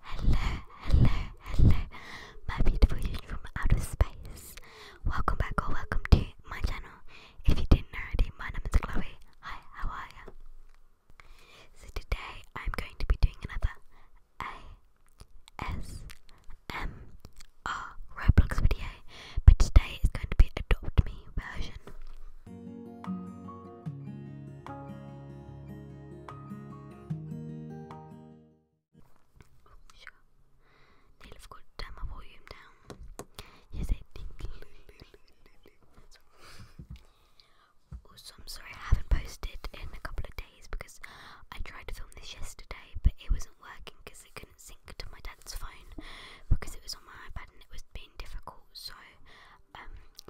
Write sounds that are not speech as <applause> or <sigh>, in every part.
Hello, hello, hello, my beautiful youth from outer space. Welcome back or welcome to my channel. If you didn't already, my name is Chloe. Hi, how are you? So today I'm going to be doing another ASMR Roblox video, but today is going to be Adopt Me version. Sure. Neil, I've got turn my volume down. Yes, I'm sorry I haven't posted in a couple of days because I tried to film this yesterday, but it wasn't working because it couldn't sync to my dad's phone because it was on my iPad and it was being difficult. So um,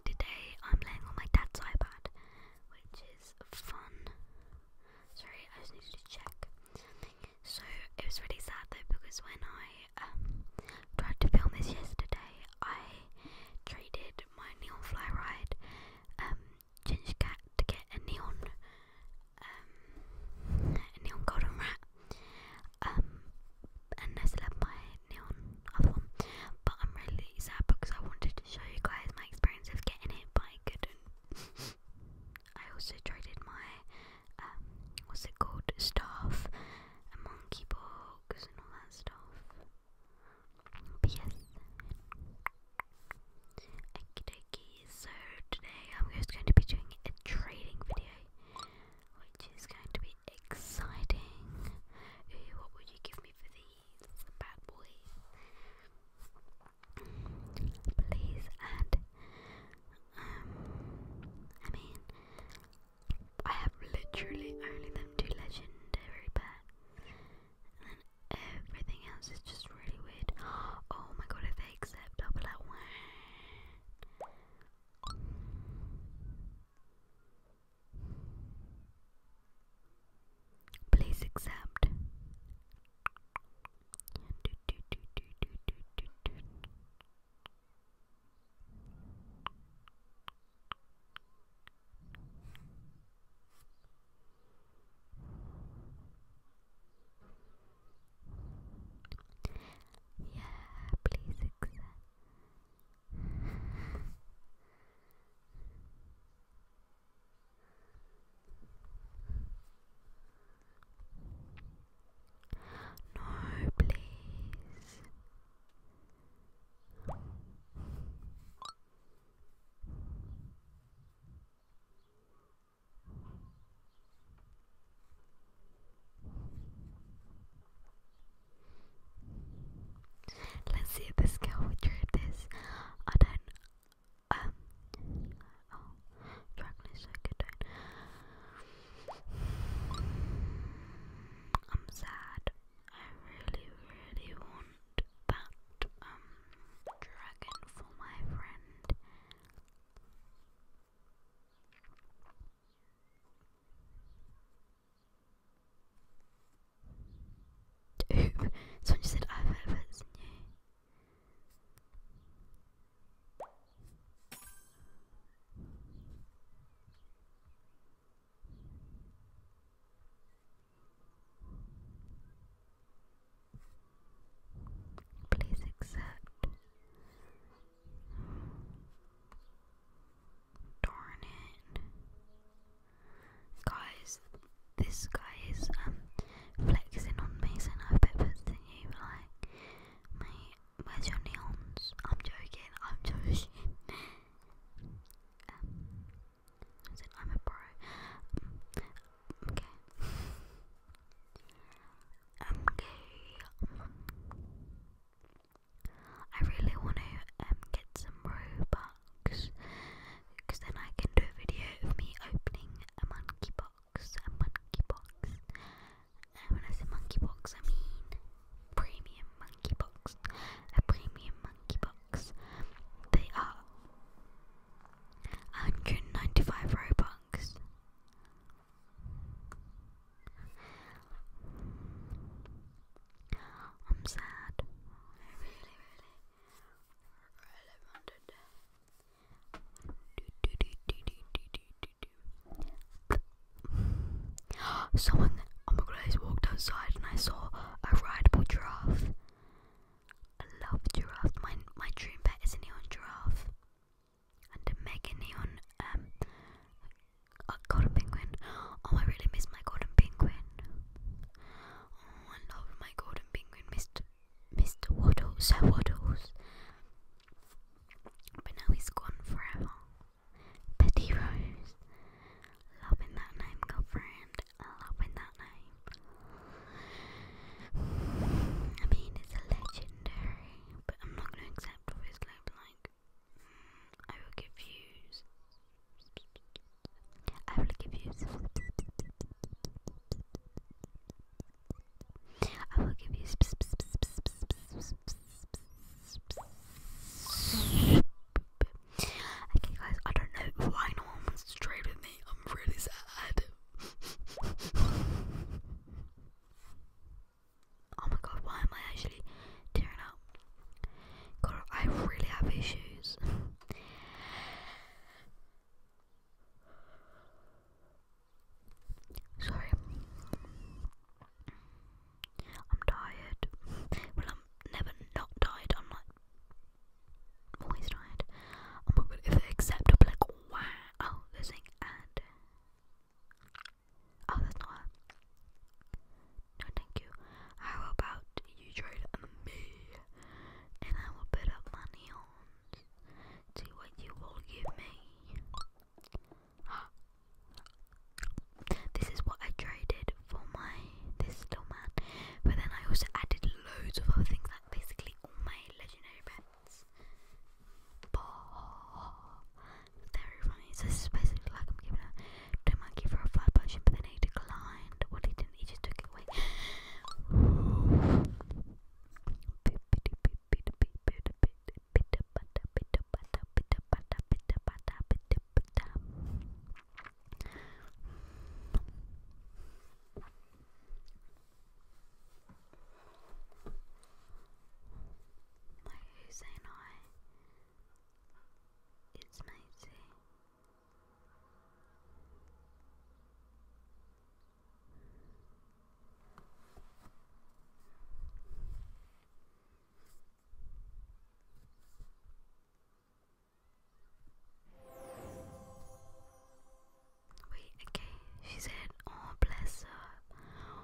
today I'm laying on my dad's iPad, which is fun. Sorry, I just needed to check So it was really sad though because when I um, tried to film this yesterday, I traded my neon fly ride um, ginger cat to get a neon neon golden rat. and I still my neon but I'm really sad because I wanted to show you guys my experience of getting it, but I couldn't. <laughs> I also traded my um, what's it called, staff and monkey box and all that stuff. But yes. Okie dokie, so today I'm just going to be doing a trading video, which is going to be exciting. what would you give for these bad boys, please. And um, I mean, I have literally only them two legendary pets, everything else is just really weird. Oh my god, if they accept, I'll be like, Please accept. Yeah, please accept. No, please. Let's see if this girl would drew this. I don't. Um. Oh, Dragonish, I I'm sad. I really, really want that um dragon for my friend. Dude, <laughs> someone just said I've heard of it, new. Please accept. Darn it. Guys, this guy is um, flexing on me saying I bet better than you like mate, where's your neons? I'm joking, I'm joking. Um, I'm a pro. okay. I'm um, gay. I really want to um, get some Robux because then I can do a video of me opening a monkey box. A monkey box. And when I say monkey box, I mean premium monkey box. A premium monkey box. They are 195 Robux. I'm sad. I really, really, really wanted to. Someone on the grass walked outside and I saw a rideable giraffe. I love giraffe. My my dream pet is a neon giraffe and a mega neon um golden penguin. Oh, I really miss my golden penguin. Oh, I love my golden penguin, Mr. Mr. Waddles, Sir Waddles. But now he's gone forever. Betty Rose. Loving that name, girlfriend. Loving that name. I mean, it's legendary, but I'm not going to accept, obviously, but like, I will give you. I will give you. I will give you. Okay, guys, I don't know why no one wants with me. I'm really sad. <laughs> Oh my god, why am I actually tearing up? God, I really have issues. Sorry. I'm tired. Well, I'm never not tired. I'm like always tired. Oh my god, if like, wow, oh, and. Oh, that's not it. No, thank you. How about you trade me, and I will bid up my neons. See what you will give me. This is what I traded for my this little man, but then I also added loads of other things, like basically all my legendary pets. Very funny. this is basically like I'm giving a to monkey for a flat potion, but then he declined. Well, he didn't. He just took it away. Like who's saying I? It's Maisie. Wait, okay, she said, oh bless her.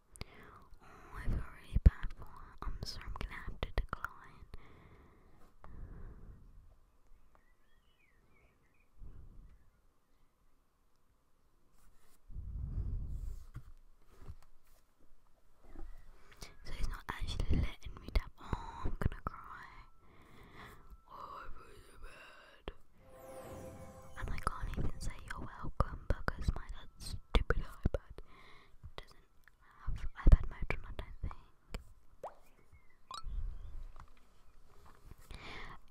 Oh, I feel really bad for her. I'm sorry, I'm gonna have to decline. So he's not actually letting me tap. Oh, I'm gonna cry. Oh, I feel so bad. And I can't even say you're welcome because my stupid iPad doesn't have iPad mode on, I don't think.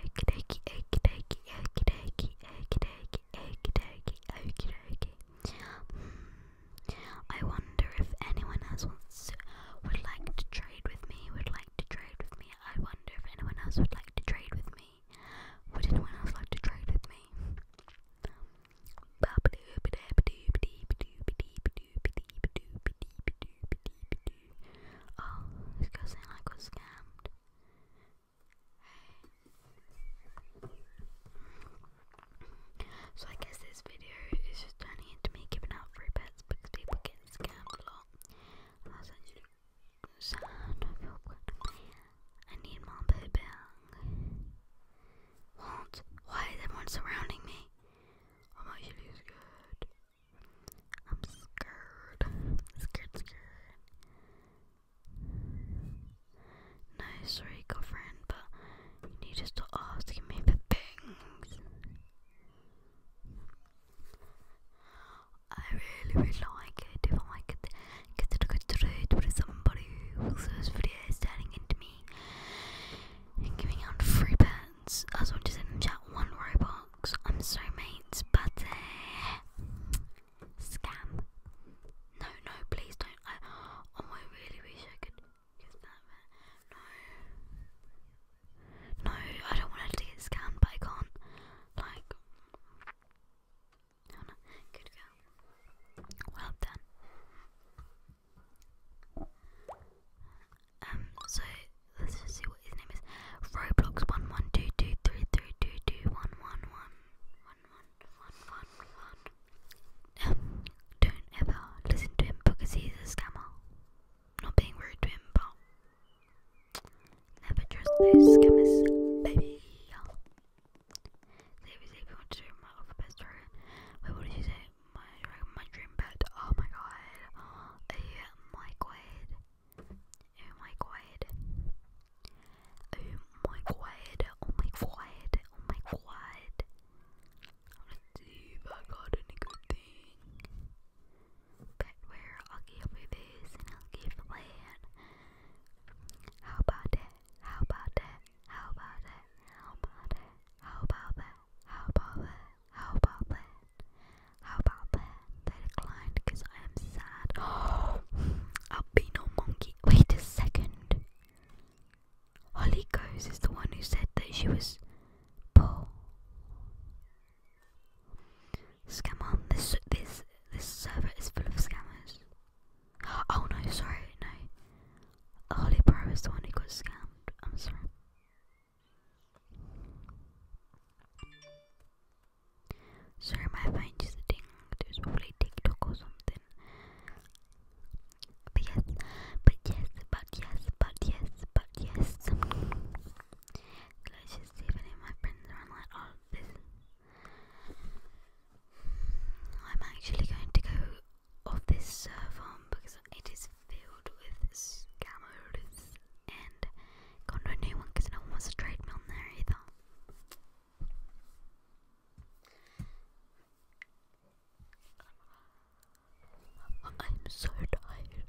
Okie dokie, okie dokie, okie dokie, okie dokie, hmm. I wonder if anyone else would like to trade with me, would like to trade with me. I wonder if anyone else would like to trade with me. Would anyone else like to trade with me? Oh, this girl saying I scammed. So I guess this video is just turning into me giving out free pets because people get scammed a lot. So don't feel good. I need my bed back. Walt, why is everyone surrounding me? Oh my shit is good. I'm scared. Scared, scared. No, sorry, girlfriend, but you need to stop asking me for things. I really really like it if I could get to concentrate with somebody who's this video staring me giving out free pens. I just want chat one Robux. I'm so mates, but uh, scam. No, no, please don't. oh, I really wish I could No, no, I don't want it to get scammed, but I can't. Like, no, no, good girl. Well done. Um, so let's just see what his name is. Roblox one one two two three three two two one one one one one one one one. Um, don't ever listen to him because he's a scammer. Not being rude to him, but Never trust those scammers, baby. They was to my other best Wait, what did you say? My my dream bed. Oh my god. A my god. Oh my god. Oh my god. Oh my god. Oh my god. I'm gonna see if I got any good thing. Petware, I'll give you this and I'll give you How about that? How about that? How about that? How about that? How about that? How about that? How about that? How about that? They declined because I am sad. Oh, <gasps> albino monkey. Wait a second. Holly Goes is the one who said that she was poor. Scam on this this this server is full of scammers. Oh no, sorry, no. Holy Pro is the one who got scammed. I'm sorry. Sorry, my phone just dinged. It was TikTok or something. But yes, but yes, but yes, but yes, but yes. Glacier, Steven, and my friends are online oh, this. I'm actually going to go off this server um, because it is filled with scammers and got no new one because no one wants to trade me there either. I'm so tired.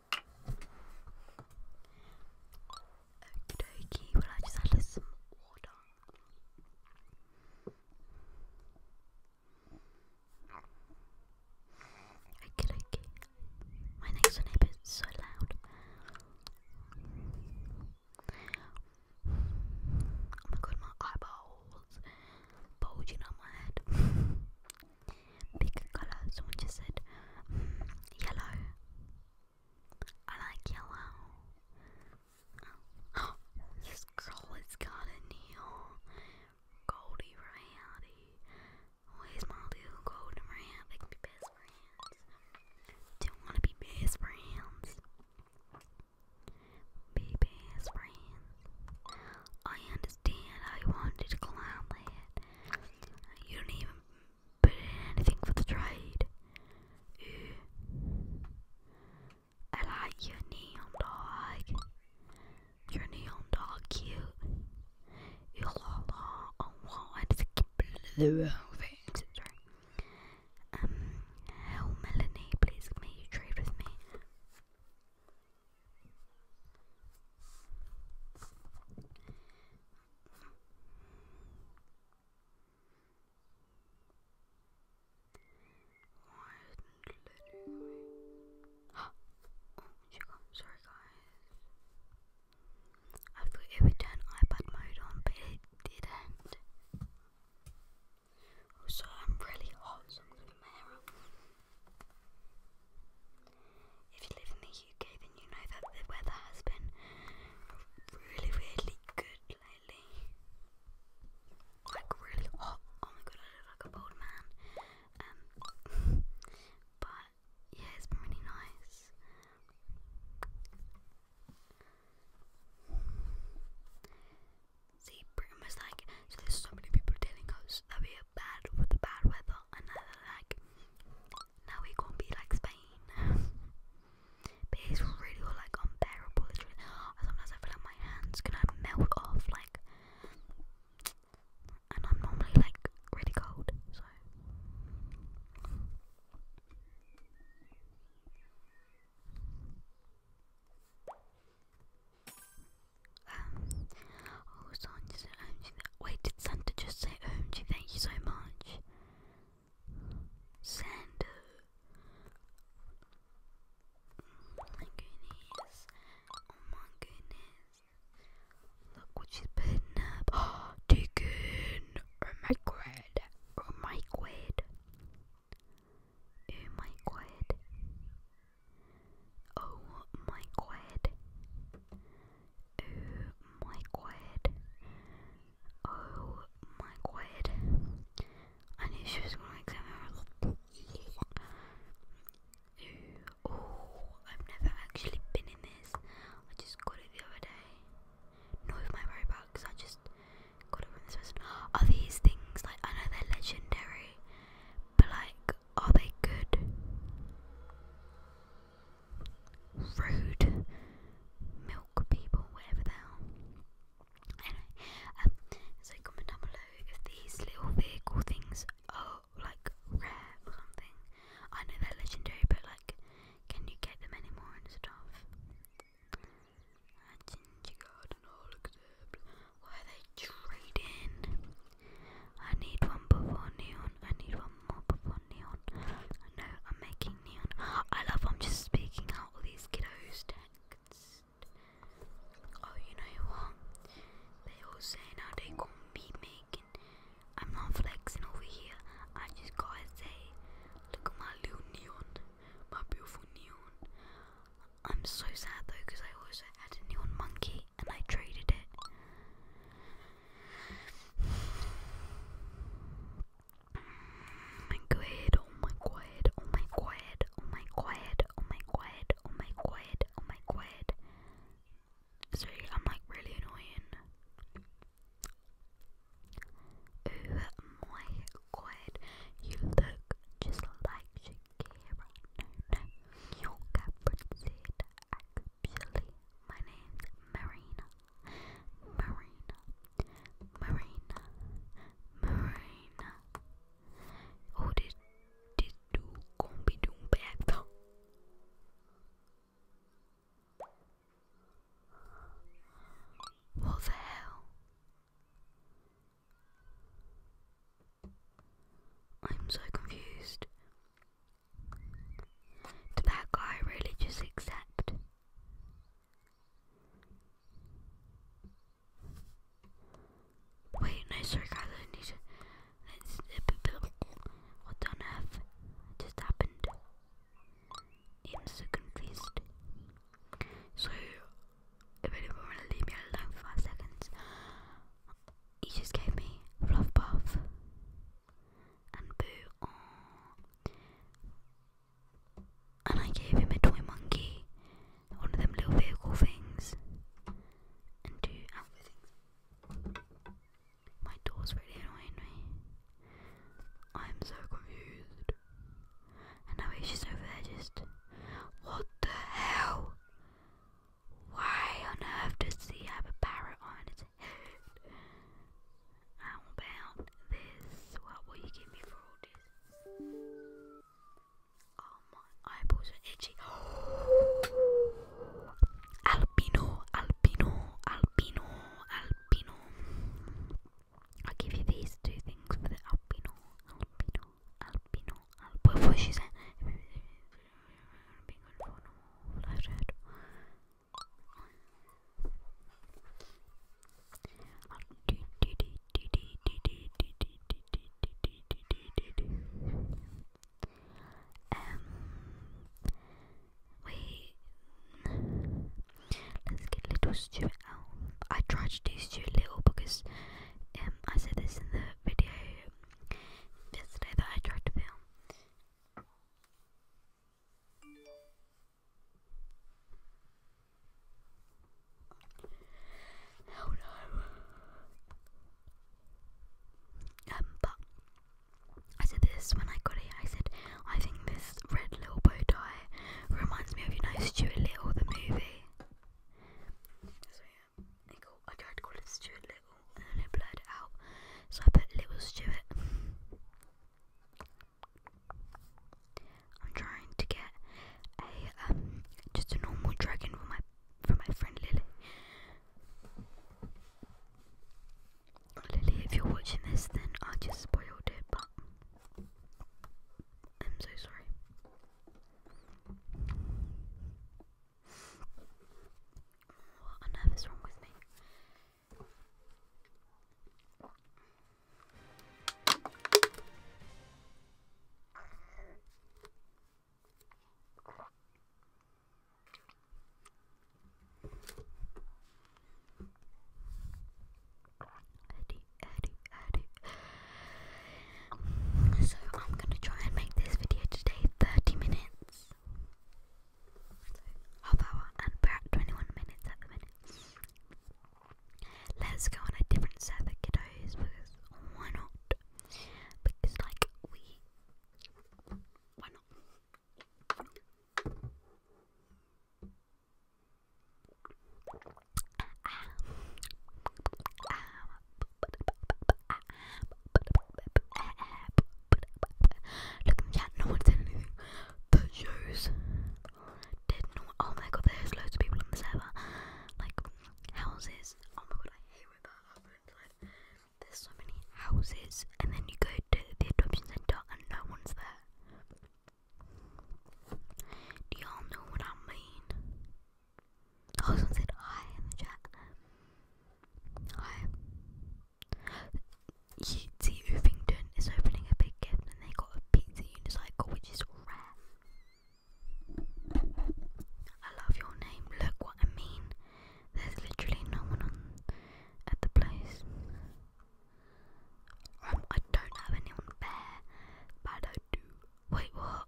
Okie dokie, well I just added some water. Okie dokie. My next door neighbour is so loud. Oh my god, my eyeballs bulging on my head. Pick a Someone just said hmm, yellow. I like yellow. <gasps> this girl has got a nail. Goldie Randy. Where's my little golden round? They can be best friends. do wanna be best friends. Be best friends. I understand. I wanted to clown land. You don't even put in anything for the trade. I like your neon dog. Your neon dog cute. You la la. I want to keep blue things. Um, Melanie, please may you trade with me? oh sorry guys. I thought it would turn iPad mode on, but it didn't. Also, I'm really hot, so I'm gonna my hair up. If you live in the UK, then you know that the weather has been really, really good lately. Like, really hot. Oh my god, I look like a bald man. Um, <laughs> but yeah, it's been really nice. See, pretty much like, there's so many people telling us that we bad with the bad weather, and like, now we gonna be like Spain. <laughs> but it's really like unbearable. Sometimes I feel like my hands going melt off, like, and I'm normally like really cold, so. Um, oh, Wait, did Santa just say Thank you so much. Oh my goodness. Oh my goodness. Look what she's putting up. <gasps> Oh my god. Oh my god. Oh my god. Oh my god. Oh my god. Oh my god. I knew she was going to examine Oh, I've never actually been in this. I just got it the other day. Not with my Robux, I just got it from this person. Are these things, like, I know they're legendary, but like, are they good? Rude milk people, whatever they are. Anyway, um, so comment down below if these little vehicle things are like rare or something. I know they're legendary, but like, can you get them anymore and stuff? Why are they trading? I need one before neon. I need one more before neon. I know I'm making neon. I love I'm just speaking out all these kiddos' texts. Oh, you know what? They all say now they gonna be making. I'm not flexing over here. I just gotta say, look at my little neon, my beautiful neon. I'm so sad though because I also had a new one monkey and I traded it. Oh my god, oh my god, oh my god, oh my god, oh my god, oh my god, oh my god. Sorry, I'm like really annoying. Oh my quiet. You look just like Shakira. No, no, you Actually, my name's Marina. Marina. Marina. Marina. Oh, did did do combi doom back What the hell? I'm so confused. Did that guy really just accept? Wait, no, sorry guys, I need to. What on earth just happened? I'm so confused. So, if anyone want to leave me alone for five seconds, he just gave me fluff puff and boo. And I gave him a toy monkey, one of them little vehicle things. My door's really annoying me. I'm so confused. And now she's over there just. What the hell? Why on earth does he have a parrot on his head? How about this? What will you give me for all this? Oh, my eyeballs are itchy. <gasps> Albino, albino, albino, albino. I'll give you these two things for the albino, albino albino, albino, what she said. Um, we let's get little stew I tried to do too little because um, I said this in the video yesterday that I tried to film. Oh no. Um, but I said this when I got it. I said, I think this red little bow tie reminds me of you know Stuart Little the movie. So yeah, I, tried to call it Stuart Little and then it blurred it out. So I put Little Stuart. I'm trying to get a just a normal dragon for my for my friend Lily. Lily, if you're watching this, then I just spoiled it, but I'm so sorry. What on earth is wrong with me? So I'm gonna try and make this video today 30 minutes. half hour and we're at 21 minutes at the minute. Let's go on a different server, kiddos, because why not? Because like we why not? Look in the chat, no one said anything. The shows did not. Oh my god, there's loads of people on the server. Like, houses. Oh my god, I hate when that happens. There's so many houses, and then you go to the adoption centre and no one's there. Do y'all know what I mean? Oh, said hi in the chat. Hi. see, Irvington is opening a big gift and they got a pizza unicycle, which is rare. I love your name. Look what I mean. There's literally no one at the place. Um, I don't have anyone there, but I do. Wait, what?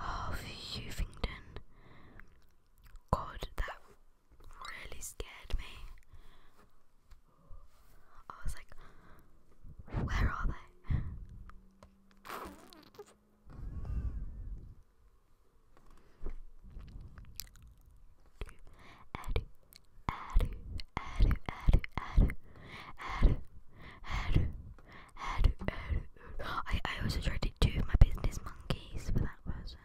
Oh, Huvington. God, that really scared me. I was like, where are they? I I also tried to do my business monkeys for that person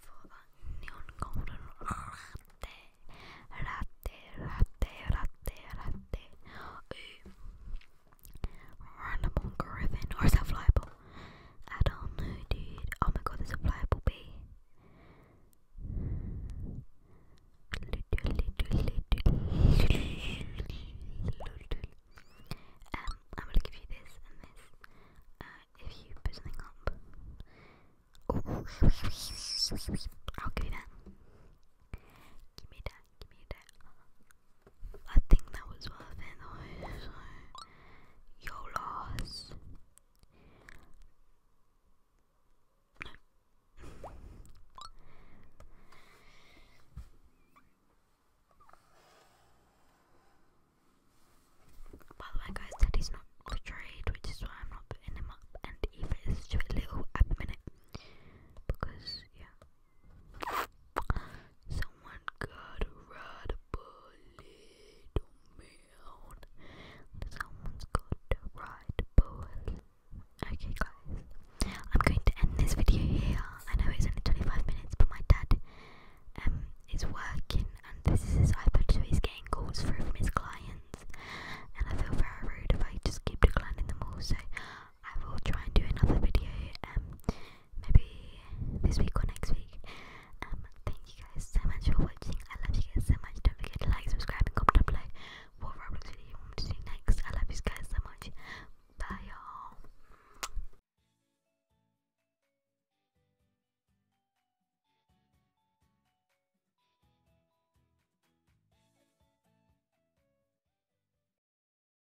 for that neon golden Runnable Griffin. Or is that I don't know, dude. Oh my god, there's a flyable bee. Um, I'm gonna give you this and this. Uh, if you put something up. I'll give you that. Give me that, give me that. I think that was worth it though, your loss. By the way guys, Teddy's not betrayed, which is why I'm not putting him up and Eva is too little at the minute. Because yeah, Someone got a ride a bullet on man. Someone's got a ride a bullet. Okay, guys, I'm going to end this video here. I know it's only 25 minutes, but my dad um is working, and this is his iPad, so he's getting calls through from his clients, and I feel very rude if I just keep declining them all. So I will try and do another video um maybe this week or next week. Um thank you guys so much for watching. I love you guys so much. Don't forget to like, subscribe and comment down what Roblox video you want me to do next. I love you guys so much. Bye y'all.